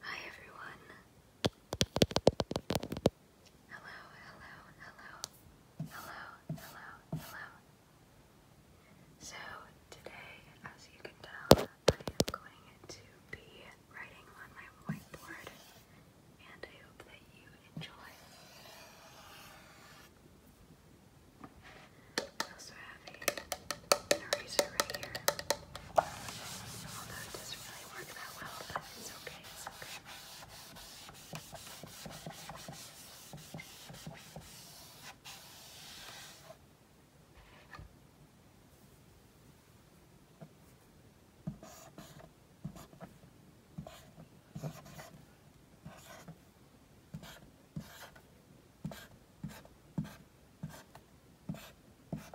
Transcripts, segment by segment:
Hi everyone. Hello, hello, hello, hello, hello, hello. So today, as you can tell, I am going to be writing on my whiteboard, and I hope that you enjoy. I also have a an eraser right here. Although it doesn't really work that well, but Okay.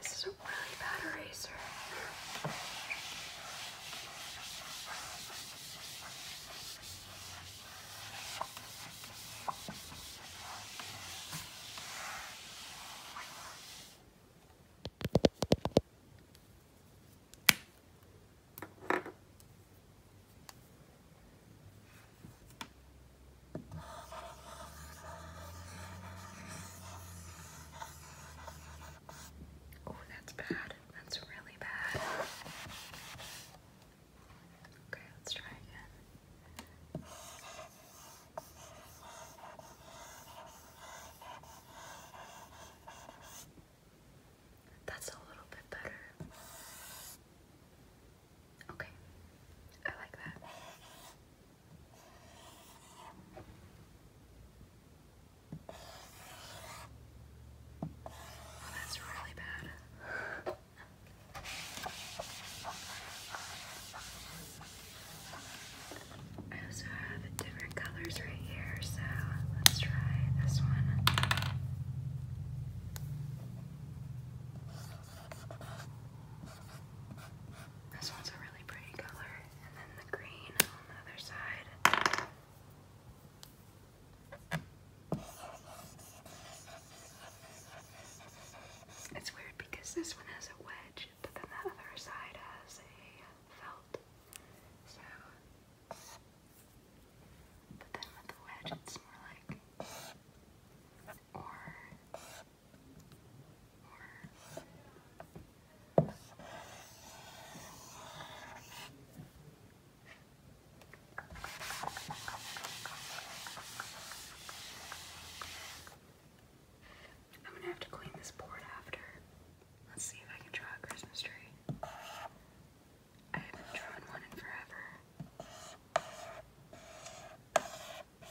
This is a really bad eraser. Oh, that's bad. That's really bad. Okay, let's try again. That's a little bit better. Okay, I like that. Oh, that's really bad. I also have different colors right here, so let's try this one. This one's a really pretty color, and then the green on the other side. It's weird because this one has a wedge but then the other side has a felt. So, but then with the wedge, it's more like or or. I'm gonna have to clean this board after. Let's see if I can draw a Christmas tree. I haven't drawn one in forever. Okay,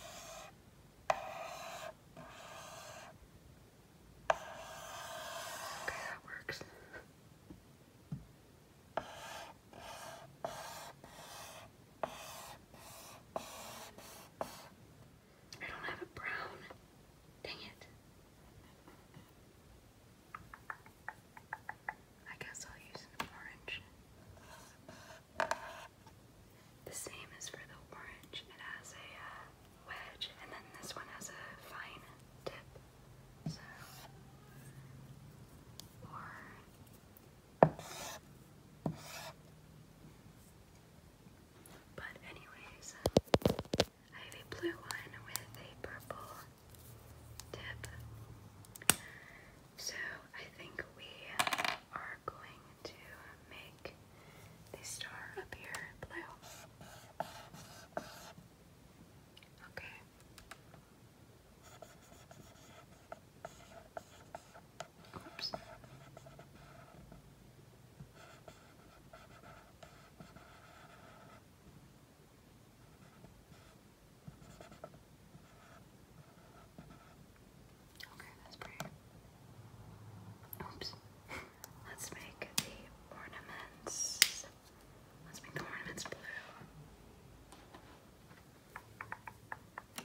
that works. I don't have a brown. Dang it. I guess I'll use an orange. The same as for the orange. It has a uh, wedge, and then this one has a fine tip. So, but anyways, I have a blue one with a purple tip. So I think we are going to make the star up blue. Okay. Oops. Okay, that's pretty. Oops. Let's make the ornaments. Let's make the ornaments blue.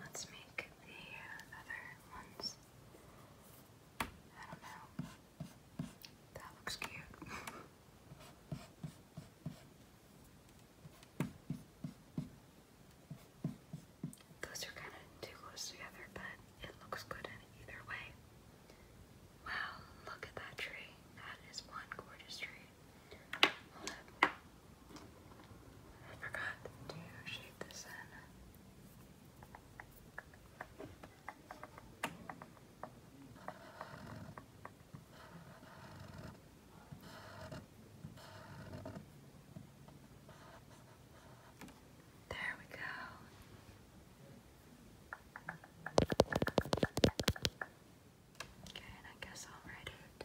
Let's make the other ones. I don't know. That looks cute. Those are kind of too close together, but it looks good either way. Wow, look at that tree. That is one gorgeous tree. Hold up. I forgot to shade this in. There we go. Okay, and I guess I'll write it.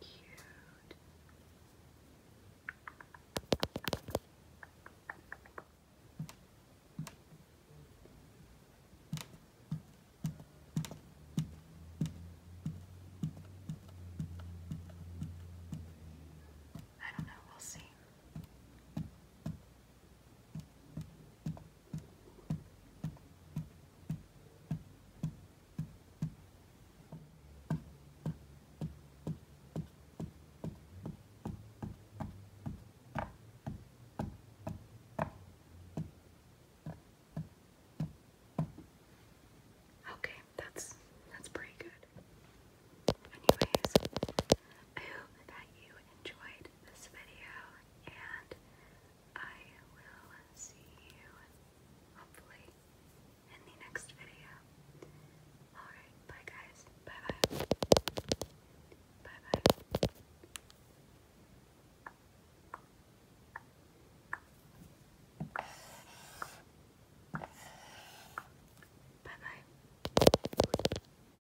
Cute. I don't know, we'll see. Okay, that's that's pretty good. Anyways, I hope that you enjoyed this video, and I will see you hopefully in the next video. Alright, bye guys. Bye bye. Bye bye. Bye bye.